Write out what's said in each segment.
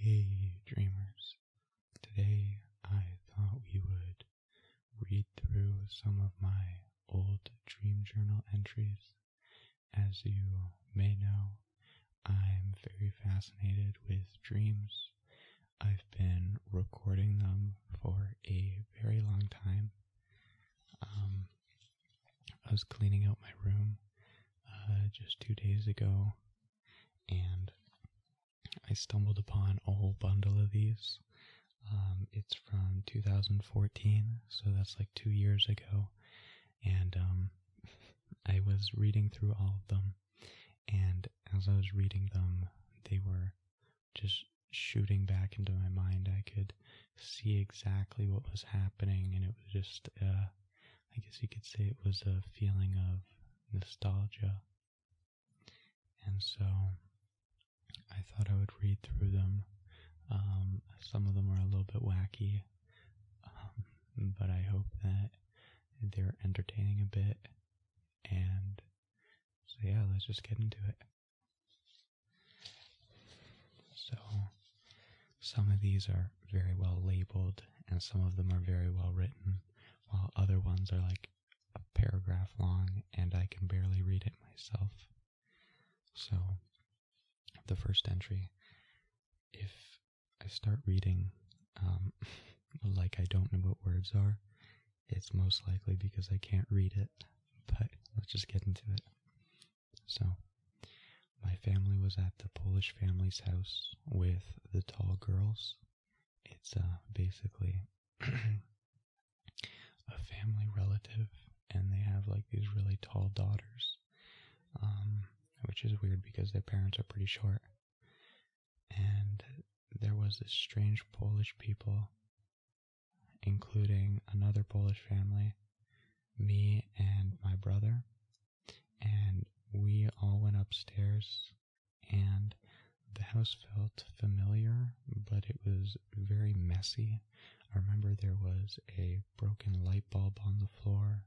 Hey, dreamers. Today I thought we would read through some of my old dream journal entries. As you may know, I'm very fascinated with dreams. I've been recording them for a very long time um, I was cleaning out my room uh, just two days ago, and I stumbled upon a whole bundle of these. Um, it's from 2014, so that's like two years ago, and um, I was reading through all of them, and as I was reading them, they were just shooting back into my mind. I could see exactly what was happening, and it was just, uh, I guess you could say it was a feeling of nostalgia. And so I thought I would read through them. Um, some of them are a little bit wacky, um, but I hope that they're entertaining a bit. And so, yeah, let's just get into it. So some of these are very well labeled and some of them are very well written, while other ones are like a paragraph long and I can barely read it myself. So the first entry, if I start reading um, like I don't know what words are, it's most likely because I can't read it, but let's just get into it. So, my family was at the Polish family's house with the tall girls. It's uh, basically a family relative, and they have like these really tall daughters, um, which is weird because their parents are pretty short. And there was this strange Polish people including another Polish family, me and my brother, and we all went upstairs and the house felt familiar, but it was very messy. I remember there was a broken light bulb on the floor.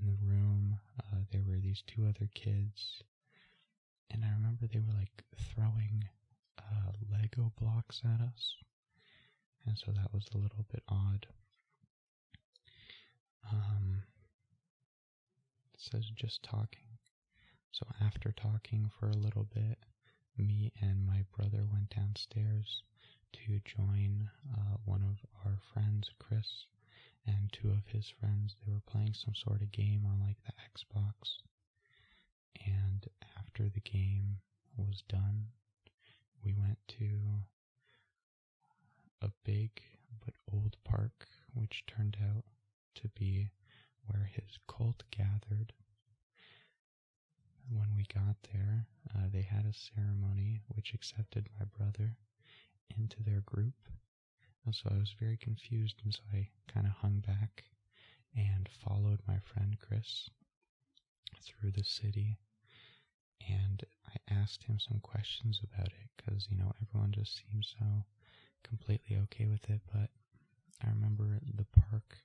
In the room, uh, there were these two other kids and I remember they were like throwing uh, Lego blocks at us, and so that was a little bit odd. Um, it says just talking. So after talking for a little bit, me and my brother went downstairs to join uh, one of our friends, Chris, and two of his friends. They were playing some sort of game on like the Xbox. And after the game was done, we went to a big but old park, which turned out to be where his cult gathered. When we got there, uh, they had a ceremony which accepted my brother into their group. so I was very confused, and so I kind of hung back and followed my friend Chris through the city. And I asked him some questions about it because, you know, everyone just seemed so completely okay with it. But I remember the park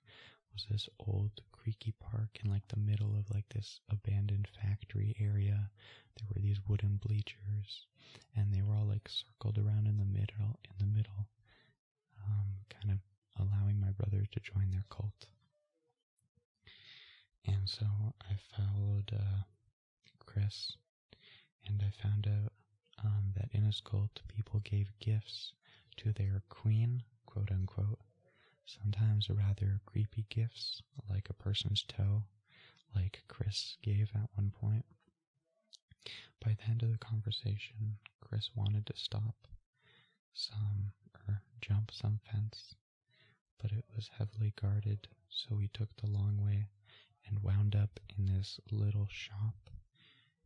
was this old creaky park in like the middle of like this abandoned factory area. There were these wooden bleachers and they were all like circled around in the middle in the middle um, kind of allowing my brother to join their cult. And so I followed uh, Chris, and I found out um, that in his cult, people gave gifts to their queen, quote unquote. Sometimes rather creepy gifts, like a person's toe, like Chris gave at one point. By the end of the conversation, Chris wanted to stop some or jump some fence, but it was heavily guarded, so we took the long way and wound up in this little shop.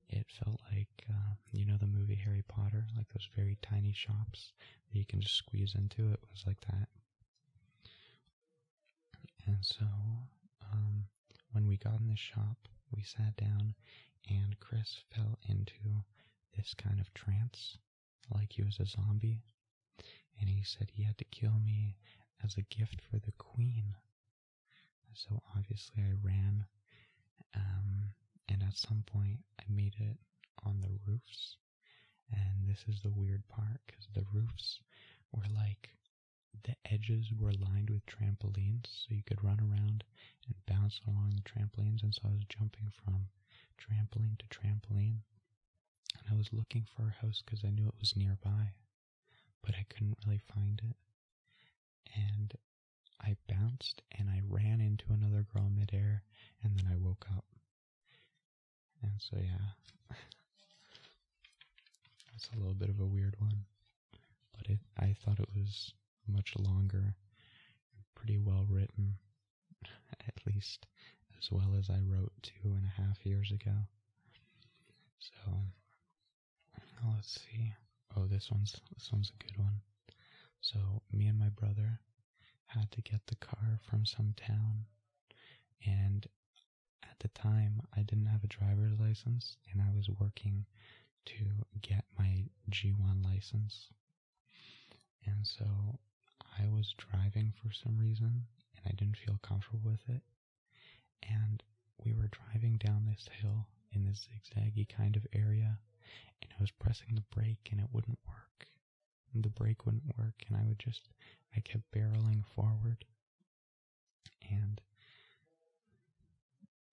It felt like, uh, you know, the movie Harry Potter, like those very tiny shops that you can just squeeze into. It was like that. And so, um, when we got in the shop, we sat down, and Chris fell into this kind of trance, like he was a zombie. And he said he had to kill me as a gift for the queen. So obviously, I ran. Um, and at some point, I made it on the roofs. And this is the weird part because the roofs were like the edges were lined with trampolines, so you could run around and bounce along the trampolines. And so I was jumping from trampoline to trampoline. And I was looking for a house because I knew it was nearby, but I couldn't really find it. And I bounced and I ran into another girl midair, and then I woke up. And so, yeah, that's a little bit of a weird one but it I thought it was much longer and pretty well written, at least as well as I wrote two and a half years ago. So oh, let's see. Oh, this one's this one's a good one. So me and my brother had to get the car from some town, and at the time I didn't have a driver's license, and I was working to get my G1 license. And so I was driving for some reason, and I didn't feel comfortable with it. And we were driving down this hill in this zigzaggy kind of area, and I was pressing the brake, and it wouldn't work. And the brake wouldn't work, and I would just, I kept barreling forward and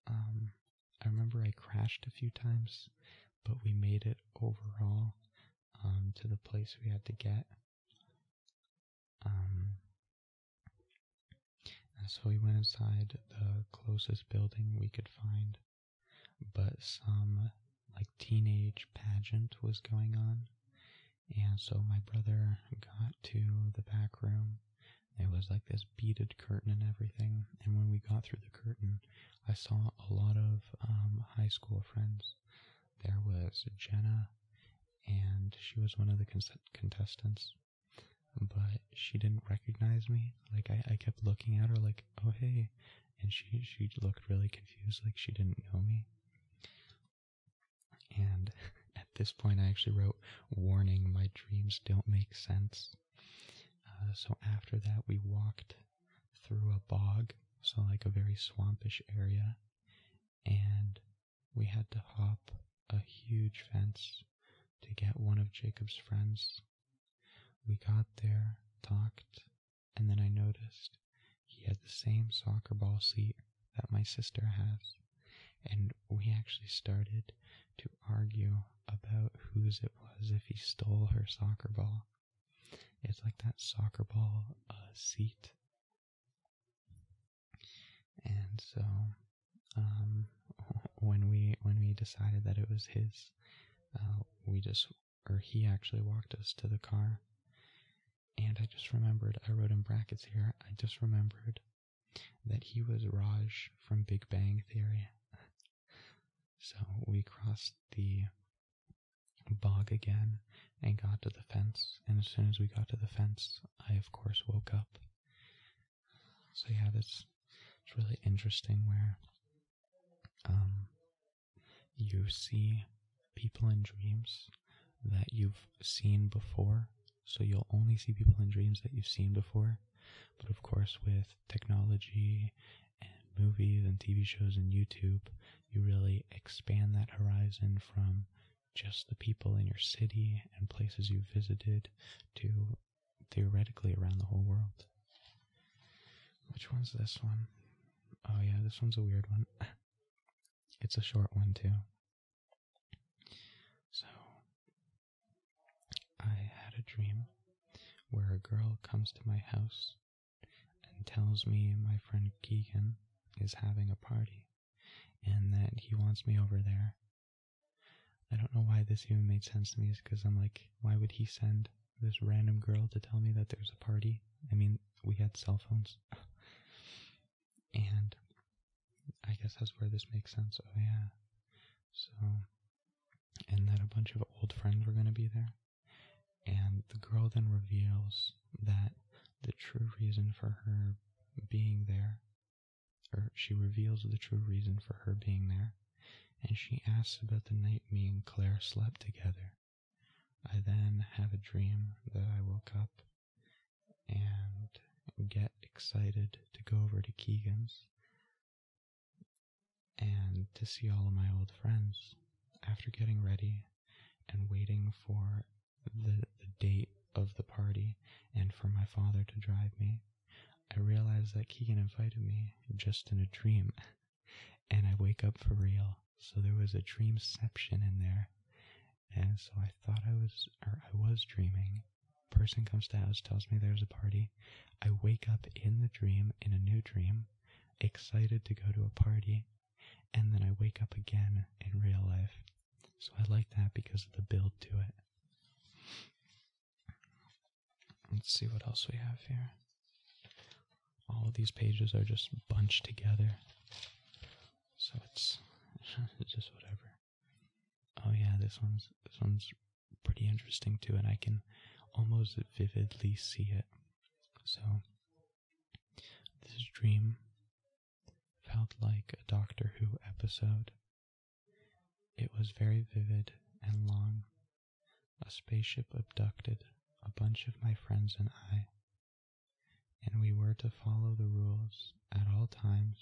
um, I remember I crashed a few times, but we made it overall um, to the place we had to get. Um, so we went inside the closest building we could find, but some like teenage pageant was going on. And so my brother got to the back room it was like this beaded curtain and everything. And when we got through the curtain, I saw a lot of um, high school friends. There was Jenna, and she was one of the contestants. But she didn't recognize me. Like I, I kept looking at her, like, "Oh hey," and she she looked really confused, like she didn't know me. And at this point, I actually wrote, Warning, my dreams don't make sense. Uh, so after that, we walked through a bog, so like a very swampish area, and we had to hop a huge fence to get one of Jacob's friends. We got there, talked, and then I noticed he had the same soccer ball seat that my sister has. And we actually started to argue about whose it was if he stole her soccer ball. It's like that soccer ball a uh, seat. And so, um, when we when we decided that it was his, uh, we just or he actually walked us to the car. And I just remembered, I wrote in brackets here, I just remembered that he was Raj from Big Bang Theory. So we crossed the bog again and got to the fence. And as soon as we got to the fence, I of course woke up. So yeah, that's it's really interesting where um you see people in dreams that you've seen before. So you'll only see people in dreams that you've seen before. But of course, with technology and movies and TV shows and YouTube, you really expand that horizon from just the people in your city and places you've visited to theoretically around the whole world. Which one's this one? Oh, yeah, this one's a weird one. it's a short one, too. So, I had a dream where a girl comes to my house and tells me my friend Keegan is having a party and that he wants me over there. I don't know why this even made sense to me, because I'm like, why would he send this random girl to tell me that there's a party? I mean, we had cell phones. and I guess that's where this makes sense. Oh, yeah. So, and that a bunch of old friends were going to be there. And the girl then reveals that the true reason for her being there, or she reveals the true reason for her being there, and she asks about the night me and Claire slept together. I then have a dream that I woke up and get excited to go over to Keegan's and to see all of my old friends after getting ready and waiting for the, date of the party and for my father to drive me. I realized that Keegan invited me just in a dream, and I wake up for real. So there was a dreamception in there, and so I thought I was, or I was dreaming. Person comes to house, tells me there's a party. I wake up in the dream, in a new dream, excited to go to a party, and then I wake up again in real life. So I like that because of the build to it. Let's see what else we have here. All of these pages are just bunched together. So it's just whatever. Oh yeah, this one's this one's pretty interesting too, and I can almost vividly see it. So this dream felt like a Doctor Who episode. It was very vivid and long. A spaceship abducted a bunch of my friends and I and we were to follow the rules at all times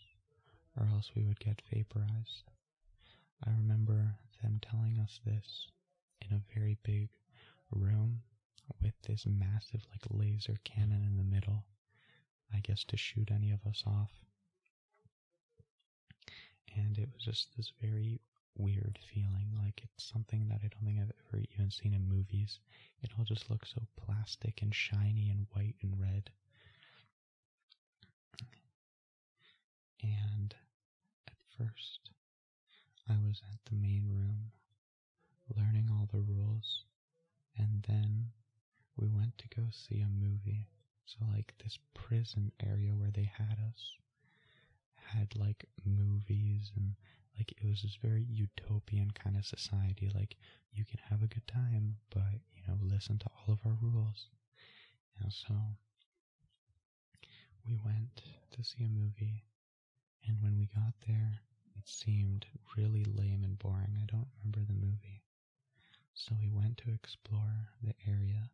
or else we would get vaporized. I remember them telling us this in a very big room with this massive like laser cannon in the middle, I guess to shoot any of us off. And it was just this very weird feeling, like it's something that I don't think I've ever even seen in movies. It all just looked so plastic and shiny and white and red. And at first, I was at the main room learning all the rules, and then we went to go see a movie. So, like, this prison area where they had us had like movies and like it was this very utopian kind of society. Like, you can have a good time, but you know, listen to all of our rules. And so we went to see a movie, and when we got there, it seemed really lame and boring. I don't remember the movie. So we went to explore the area,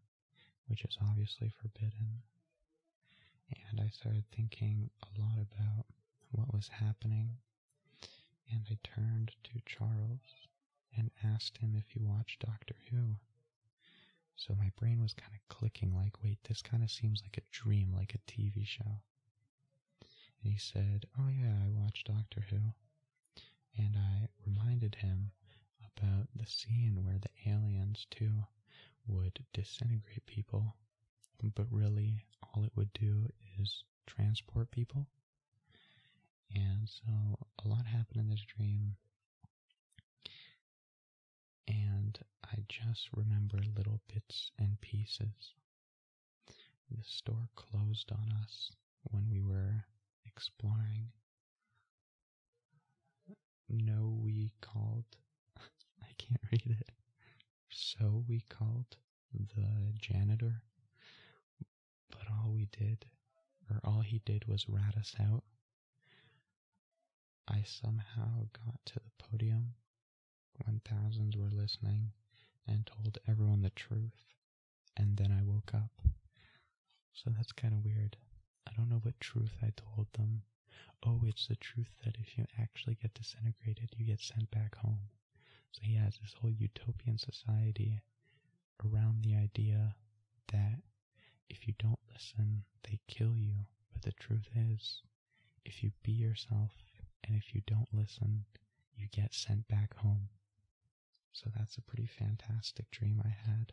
which is obviously forbidden. And I started thinking a lot about what was happening and I turned to Charles and asked him if he watched Doctor Who. So my brain was kind of clicking, like, wait, this kind of seems like a dream, like a TV show. And he said, Oh, yeah, I watch Doctor Who. And I reminded him about the scene where the aliens, too, would disintegrate people, but really all it would do is transport people. And so a lot happened in this dream. And I just remember little bits and pieces. The store closed on us when we were exploring. No, we called. I can't read it so we called the janitor, but all we did, or all he did, was rat us out. I somehow got to the podium when thousands were listening and told everyone the truth, and then I woke up. So that's kind of weird. I don't know what truth I told them. Oh, it's the truth that if you actually get disintegrated, you get sent back home. So he has this whole utopian society around the idea that if you don't listen, they kill you. But the truth is, if you be yourself and if you don't listen, you get sent back home. So that's a pretty fantastic dream I had.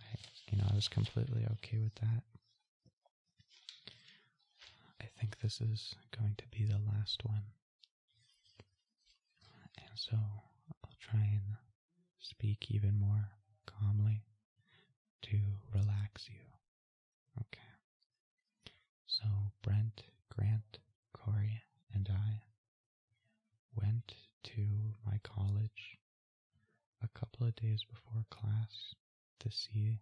I, you know, I was completely okay with that. I think this is going to be the last one. And so I'll try and speak even more calmly to relax you. Okay. So Brent, Grant, Corey, and I went to my college a couple of days before class to see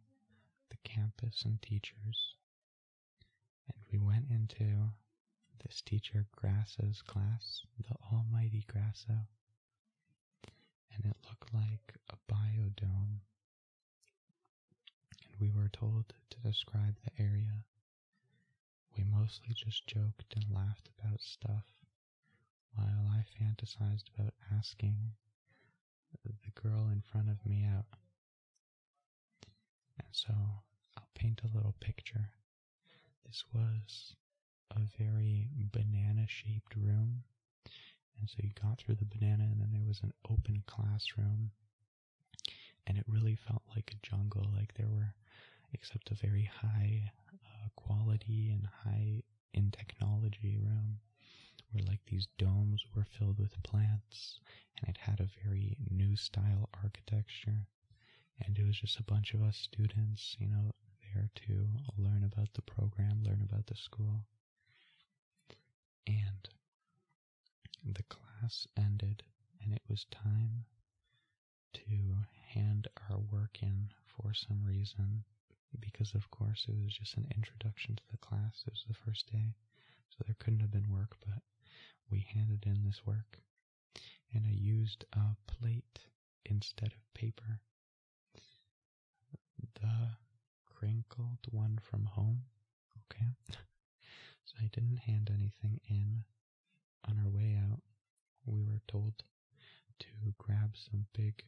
the campus and teachers and we went into this teacher Grasso's class, the almighty Grasso. And it looked like a biodome. And we were told to describe the area. We mostly just joked and laughed about stuff, while I fantasized about asking the girl in front of me out. And so I'll paint a little picture. This was a very banana shaped room. And so you got through the banana, and then there was an open classroom. And it really felt like a jungle, like there were, except a very high uh, quality and high in technology room where like these domes were filled with plants and it had a very new style architecture. And it was just a bunch of us students, you know, there to learn about the program, learn about the school. And the class ended, and it was time to hand our work in for some reason because of course it was just an introduction to the class. It was the first day so there couldn't have been work, but we handed in this work. And I used a plate instead of paper. The crinkled one from home. Okay. so I didn't hand anything in. On our way out, we were told to grab some big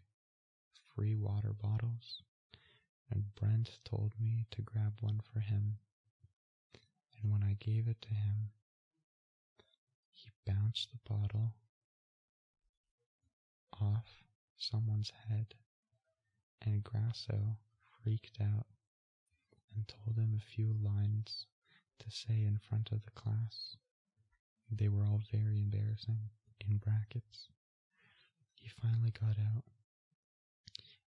free water bottles and Brent told me to grab one for him, and when I gave it to him, he bounced the bottle off someone's head, and Grasso freaked out and told him a few lines to say in front of the class. They were all very embarrassing, in brackets. He finally got out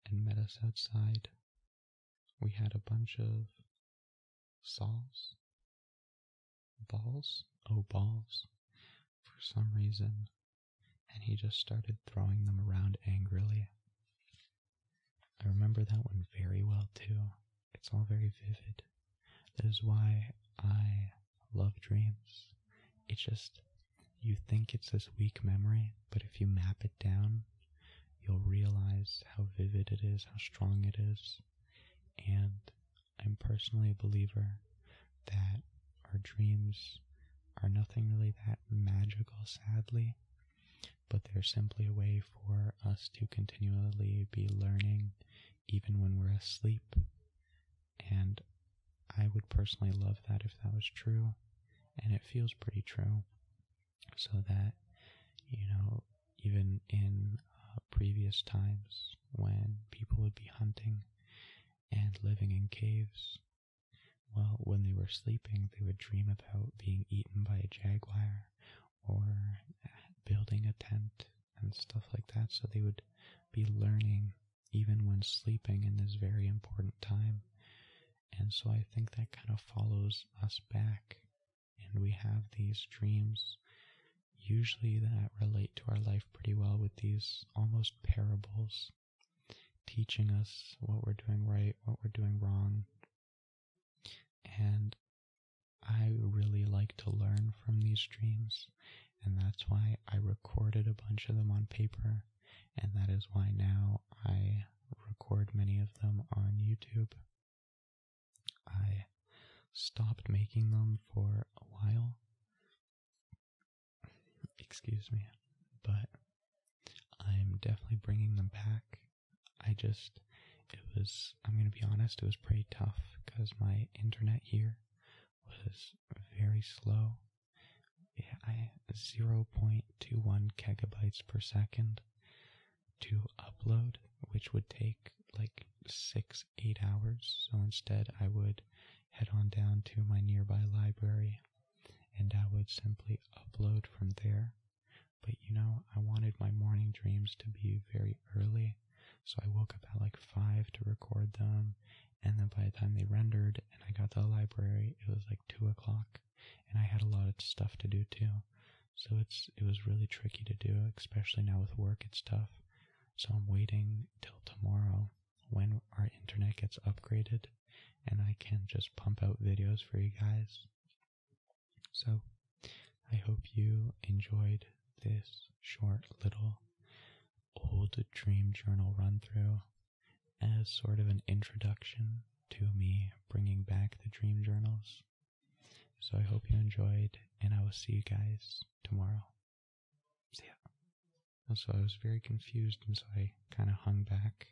and met us outside. We had a bunch of saws, balls, oh, balls, for some reason, and he just started throwing them around angrily. I remember that one very well, too. It's all very vivid. That is why I love dreams. It's just, you think it's this weak memory, but if you map it down, you'll realize how vivid it is, how strong it is. And I'm personally a believer that our dreams are nothing really that magical, sadly, but they're simply a way for us to continually be learning even when we're asleep. And I would personally love that if that was true. And it feels pretty true. So that, you know, even in uh, previous times when people would be hunting and living in caves, well, when they were sleeping, they would dream about being eaten by a jaguar or building a tent and stuff like that. So they would be learning even when sleeping in this very important time. And so I think that kind of follows us back. And we have these dreams usually that relate to our life pretty well with these almost parables teaching us what we're doing right, what we're doing wrong. And I really like to learn from these dreams, and that's why I recorded a bunch of them on paper and that is why now I record many of them on YouTube. I stopped making them for a while. Excuse me, but I'm definitely bringing them back. I just, it was, I'm going to be honest, it was pretty tough because my internet here was very slow 0.21 gigabytes per second to upload, which would take like six, eight hours. So instead, I would head on down to my nearby library and I would simply upload from there. But you know, I wanted my morning dreams to be very early, so I woke up at like 5 to record them and then by the time they rendered and I got to the library, it was like two o'clock and I had a lot of stuff to do too. So it's, it was really tricky to do, especially now with work, it's tough. So I'm waiting till tomorrow when our internet gets upgraded and I can just pump out videos for you guys. So I hope you enjoyed this short little old dream journal run through as sort of an introduction to me bringing back the dream journals. So I hope you enjoyed, and I will see you guys tomorrow. See ya. So I was very confused, and so I kind of hung back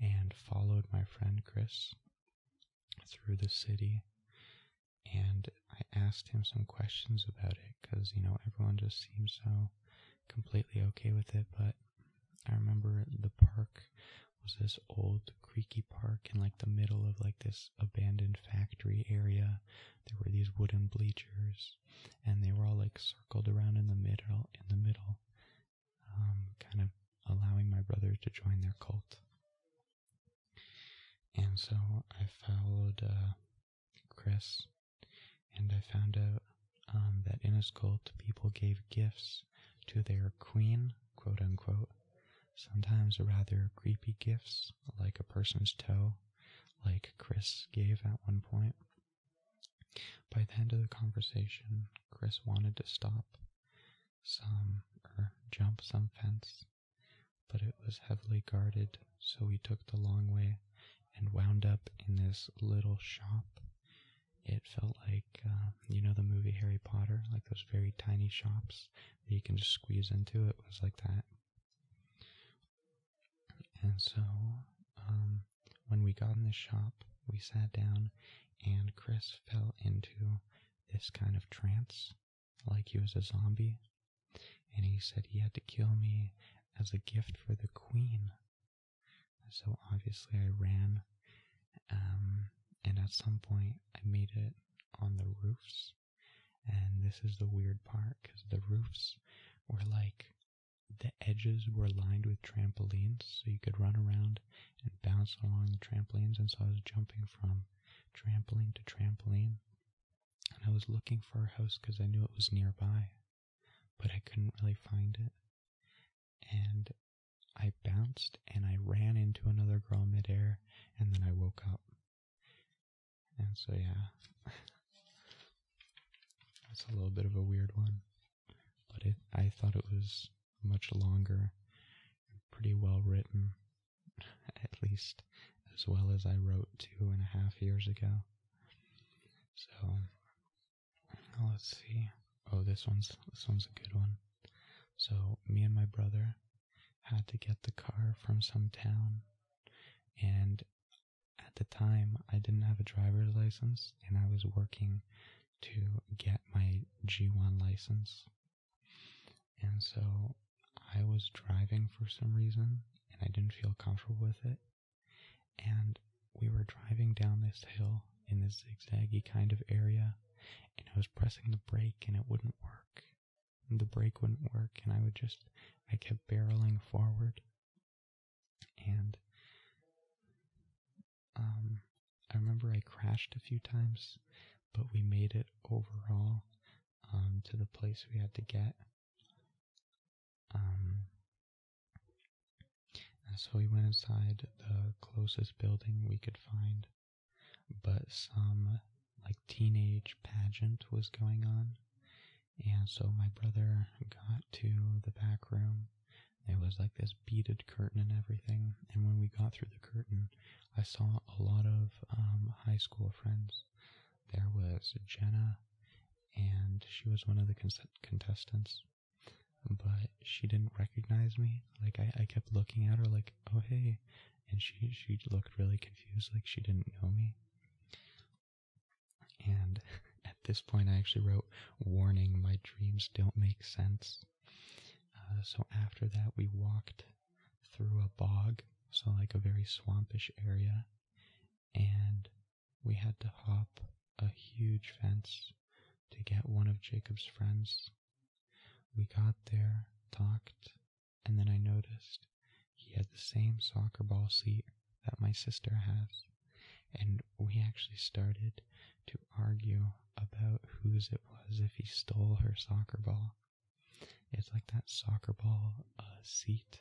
and followed my friend Chris through the city. And I asked him some questions about it because, you know, everyone just seems so completely okay with it, but I remember the park was this old creaky park in like the middle of like this abandoned factory area. There were these wooden bleachers and they were all like circled around in the middle in the middle. Um, kind of allowing my brother to join their cult. And so I followed uh, Chris, and I found out um, that in his cult, people gave gifts to their queen, quote unquote. Sometimes rather creepy gifts, like a person's toe, like Chris gave at one point. By the end of the conversation, Chris wanted to stop some or jump some fence, but it was heavily guarded, so we took the long way and wound up in this little shop. It felt like, uh, you know, the movie Harry Potter, like those very tiny shops that you can just squeeze into. It was like that. And so, um, when we got in the shop, we sat down, and Chris fell into this kind of trance, like he was a zombie. And he said he had to kill me as a gift for the queen. So obviously I ran, um, and at some point I made it on the roofs. And this is the weird part because the roofs were like the edges were lined with trampolines, so you could run around and bounce along the trampolines. And so I was jumping from trampoline to trampoline, and I was looking for a house because I knew it was nearby but I couldn't really find it. And I bounced and I ran into another girl midair, and then I woke up. And so, yeah, that's a little bit of a weird one, but it, I thought it was much longer and pretty well written, at least as well as I wrote two and a half years ago. So let's see. Oh, this one's this one's a good one. So me and my brother had to get the car from some town, and at the time I didn't have a driver's license, and I was working to get my G1 license. And so I was driving for some reason, and I didn't feel comfortable with it. And we were driving down this hill in this zigzaggy kind of area, and I was pressing the brake and it wouldn't work. And the brake wouldn't work, and I would just, I kept barreling forward. And um, I remember I crashed a few times, but we made it overall um, to the place we had to get. Um, so we went inside the closest building we could find, but some like teenage pageant was going on. And so my brother got to the back room. There was like this beaded curtain and everything. And when we got through the curtain, I saw a lot of um, high school friends. There was Jenna and she was one of the contestants. But she didn't recognize me. Like I, I kept looking at her like, oh hey, and she she looked really confused, like she didn't know me. And at this point, I actually wrote, "Warning: My dreams don't make sense." Uh, so after that, we walked through a bog, so like a very swampish area, and we had to hop a huge fence to get one of Jacob's friends. We got there, talked, and then I noticed he had the same soccer ball seat that my sister has. And we actually started to argue about whose it was if he stole her soccer ball. It's like that soccer ball uh, seat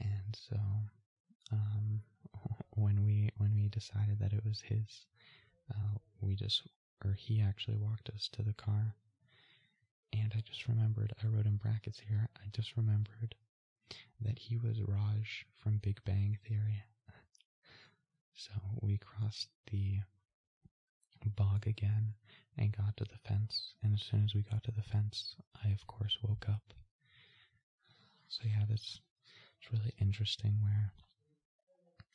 and so, um, when we when we decided that it was his, uh, we just or he actually walked us to the car. And I just remembered, I wrote in brackets here, I just remembered that he was Raj from Big Bang Theory. so we crossed the bog again and got to the fence. And as soon as we got to the fence, I, of course, woke up. So, yeah, this it's really interesting where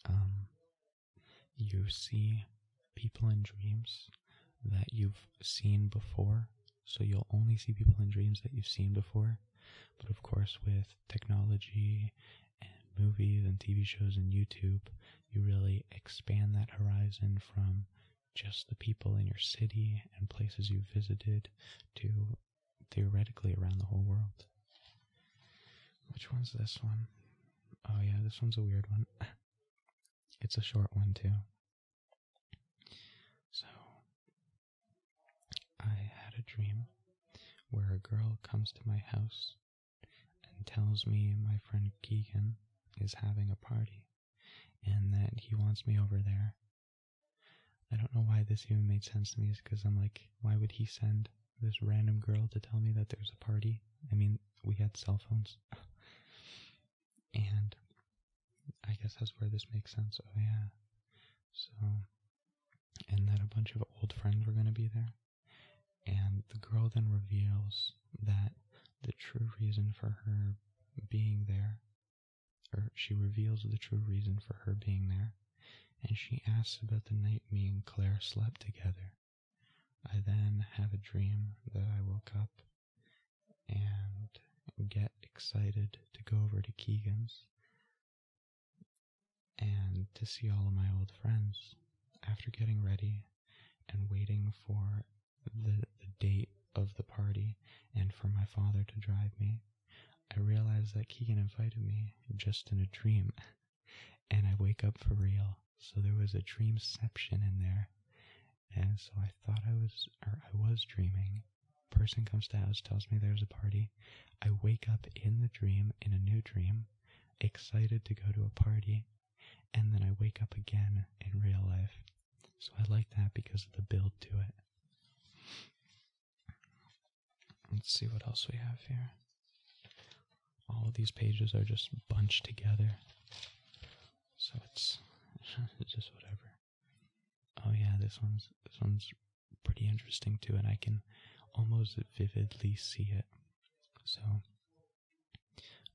um, you see people in dreams that you've seen before. So, you'll only see people in dreams that you've seen before. But, of course, with technology and movies and TV shows and YouTube, you really expand that horizon from just the people in your city and places you visited to theoretically around the whole world. Which one's this one? Oh, yeah, this one's a weird one. it's a short one, too. So, I had a dream where a girl comes to my house and tells me my friend Keegan is having a party and that he wants me over there. I don't know why this even made sense to me, because I'm like, why would he send this random girl to tell me that there's a party? I mean, we had cell phones. and I guess that's where this makes sense. Oh, yeah. So, and that a bunch of old friends were going to be there. And the girl then reveals that the true reason for her being there, or she reveals the true reason for her being there, and she asks about the night me and Claire slept together. I then have a dream that I woke up and get excited to go over to Keegan's and to see all of my old friends. After getting ready and waiting for the, date of the party and for my father to drive me. I realize that Keegan invited me just in a dream, and I wake up for real. So there was a dreamception in there, and so I thought I was, or I was dreaming. Person comes to house, tells me there's a party. I wake up in the dream, in a new dream, excited to go to a party, and then I wake up again in real life so I like that because of the build to it. Let's see what else we have here. All of these pages are just bunched together. So it's just whatever. Oh yeah, this one's this one's pretty interesting too, and I can almost vividly see it. So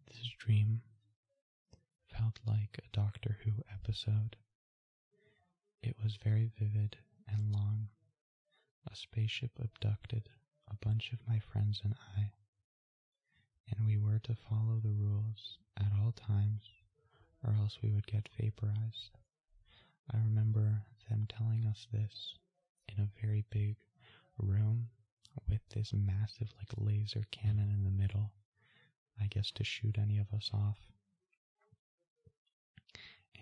this is dream Felt like a Doctor Who episode. It was very vivid and long. A spaceship abducted a bunch of my friends and I, and we were to follow the rules at all times, or else we would get vaporized. I remember them telling us this in a very big room with this massive like laser cannon in the middle, I guess to shoot any of us off.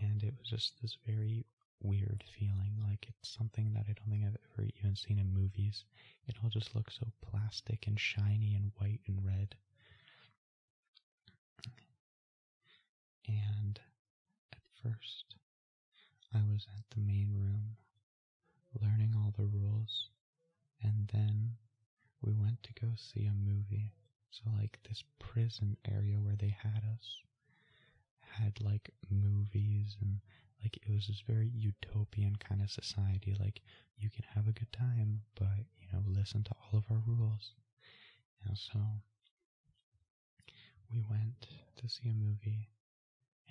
And it was just this very weird feeling, like it's something that I don't think I've ever even seen in movies. It all just looks so plastic and shiny and white and red. And at first, I was at the main room learning all the rules, and then we went to go see a movie. So, like, this prison area where they had us had like movies and like it was this very utopian kind of society. Like, you can have a good time, but you know, listen to all of our rules. And so, we went to see a movie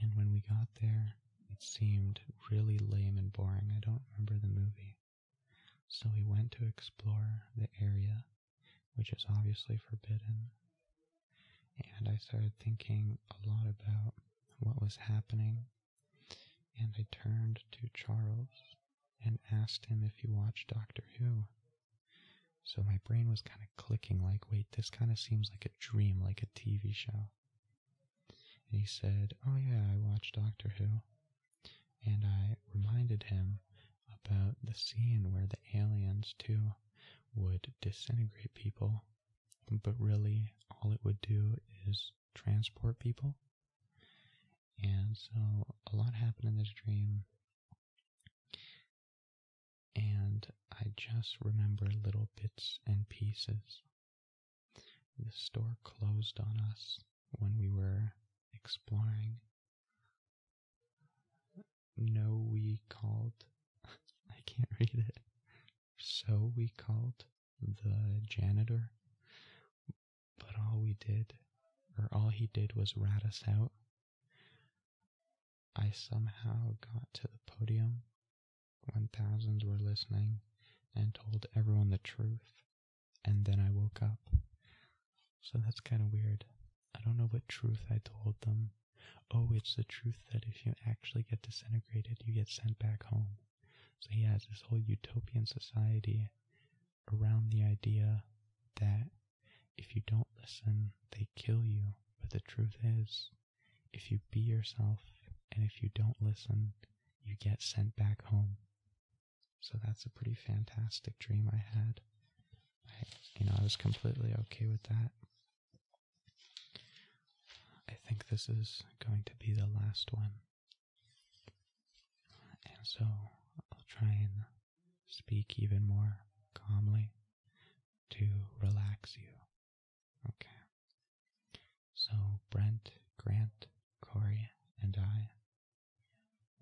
and when we got there, it seemed really lame and boring. I don't remember the movie. So we went to explore the area, which is obviously forbidden. And I started thinking a lot about what was happening. And I turned to Charles and asked him if he watched Doctor Who. So my brain was kind of clicking like, wait, this kind of seems like a dream, like a TV show. And he said, Oh, yeah, I watch Doctor Who. And I reminded him about the scene where the aliens, too, would disintegrate people, but really all it would do is transport people. And so a lot happened in this dream. And I just remember little bits and pieces the store closed on us when we were exploring. No, we called. I can't read it. So we called the janitor, but all we did, or all he did, was rat us out. I somehow got to the podium when thousands were listening and told everyone the truth, and then I woke up. So that's kind of weird. I don't know what truth I told them. Oh, it's the truth that if you actually get disintegrated, you get sent back home. So he has this whole utopian society around the idea that if you don't listen, they kill you. But the truth is, if you be yourself and if you don't listen, you get sent back home. So that's a pretty fantastic dream I had. you know, I was completely okay with that. I think this is going to be the last one. And so I'll try and speak even more calmly to relax you. Okay. So Brent, Grant, Corey, and I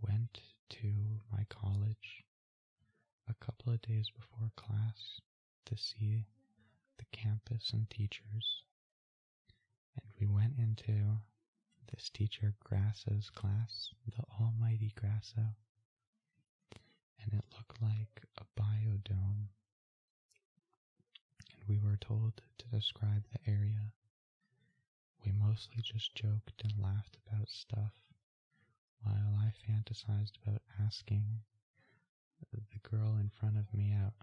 went to my college a couple of days before class to see the campus and teachers. And we went into this teacher Grasso's class, the almighty Grasso. And it looked like a biodome and we were told to describe the area. We mostly just joked and laughed about stuff, while I fantasized about asking the girl in front of me out.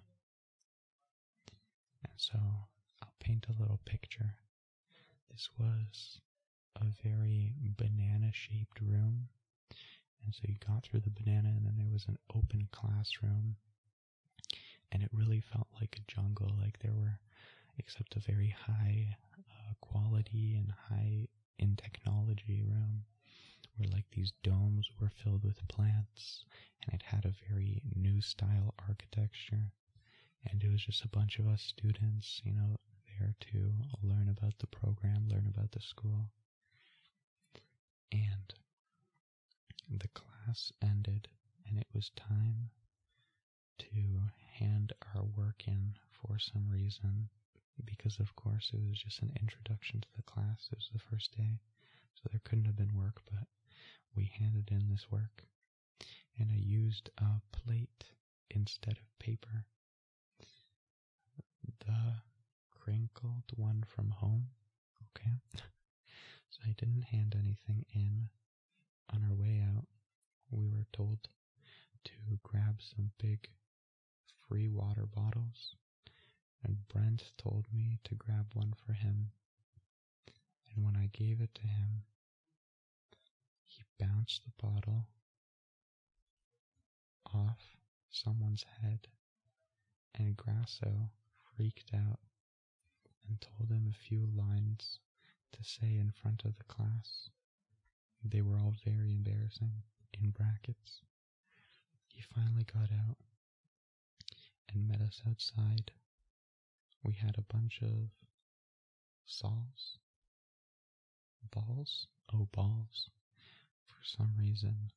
And so I'll paint a little picture. This was a very banana shaped room and so you got through the banana, and then there was an open classroom, and it really felt like a jungle. Like there were, except a very high uh, quality and high in technology room, where like these domes were filled with plants, and it had a very new style architecture. And it was just a bunch of us students, you know, there to learn about the program, learn about the school. And the class ended, and it was time to hand our work in for some reason because of course it was just an introduction to the class. It was the first day, so there couldn't have been work, but we handed in this work and I used a plate instead of paper the crinkled one from home. Okay. so I didn't hand anything in. On our way out, we were told to grab some big free water bottles, and Brent told me to grab one for him. And when I gave it to him, he bounced the bottle off someone's head, and Grasso freaked out and told him a few lines to say in front of the class. They were all very embarrassing, in brackets. He finally got out and met us outside. We had a bunch of saws, balls, oh, balls. For some reason,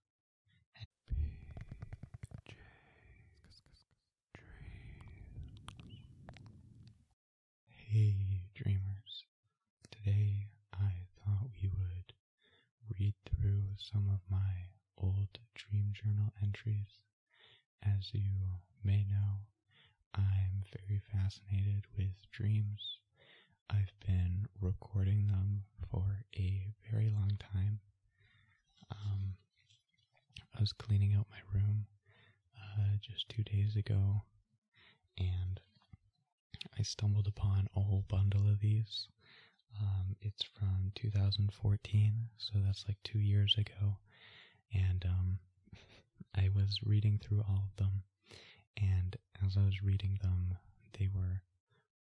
Hey, dreamers. Today I thought we would read through some of my old dream journal entries. As you may know, I'm very fascinated with dreams I've been recording them for a very long time. Um, I was cleaning out my room uh, just two days ago and I stumbled upon a whole bundle of these. Um, it's from 2014, so that's like two years ago. And um, I was reading through all of them, and as I was reading them, they were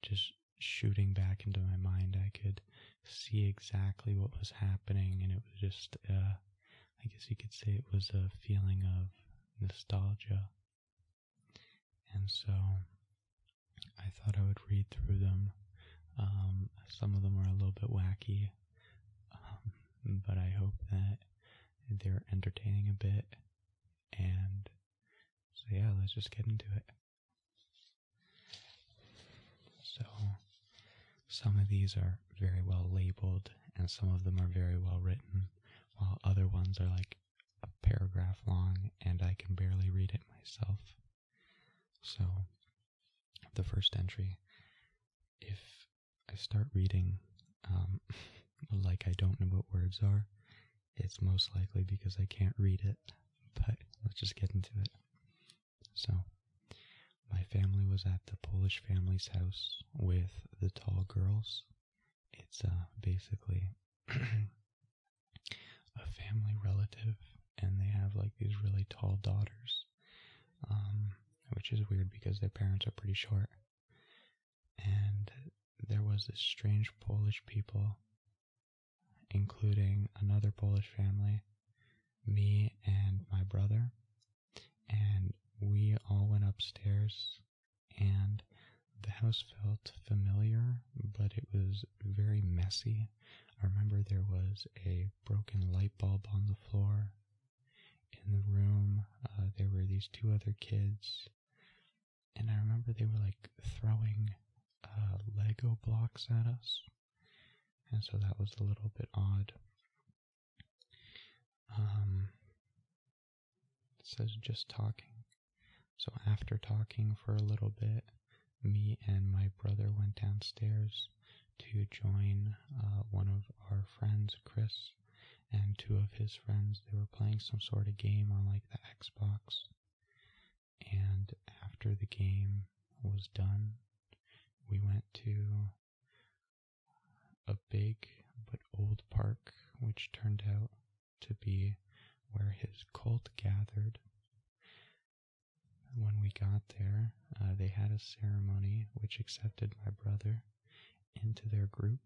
just shooting back into my mind. I could see exactly what was happening, and it was just, uh, I guess you could say it was a feeling of nostalgia. And so I thought I would read through them. Um, some of them are a little bit wacky, um, but I hope that they're entertaining a bit and so yeah, let's just get into it. So some of these are very well labeled and some of them are very well written, while other ones are like a paragraph long and I can barely read it myself. So the first entry, if I start reading um, like I don't know what words are, it's most likely because I can't read it, but let's just get into it. So, my family was at the Polish family's house with the tall girls. It's uh, basically a family relative, and they have like these really tall daughters, um, which is weird because their parents are pretty short and there was this strange Polish people, including another Polish family, me and my brother, and we all went upstairs and the house felt familiar, but it was very messy. I remember there was a broken light bulb on the floor. In the room, uh, there were these two other kids and I remember they were like throwing uh, Lego blocks at us, and so that was a little bit odd. Um, it just talking. So after talking for a little bit, me and my brother went downstairs to join uh, one of our friends, Chris, and two of his friends. They were playing some sort of game on like the Xbox. And after the game was done, we went to a big but old park, which turned out to be where his cult gathered. When we got there, uh, they had a ceremony which accepted my brother into their group,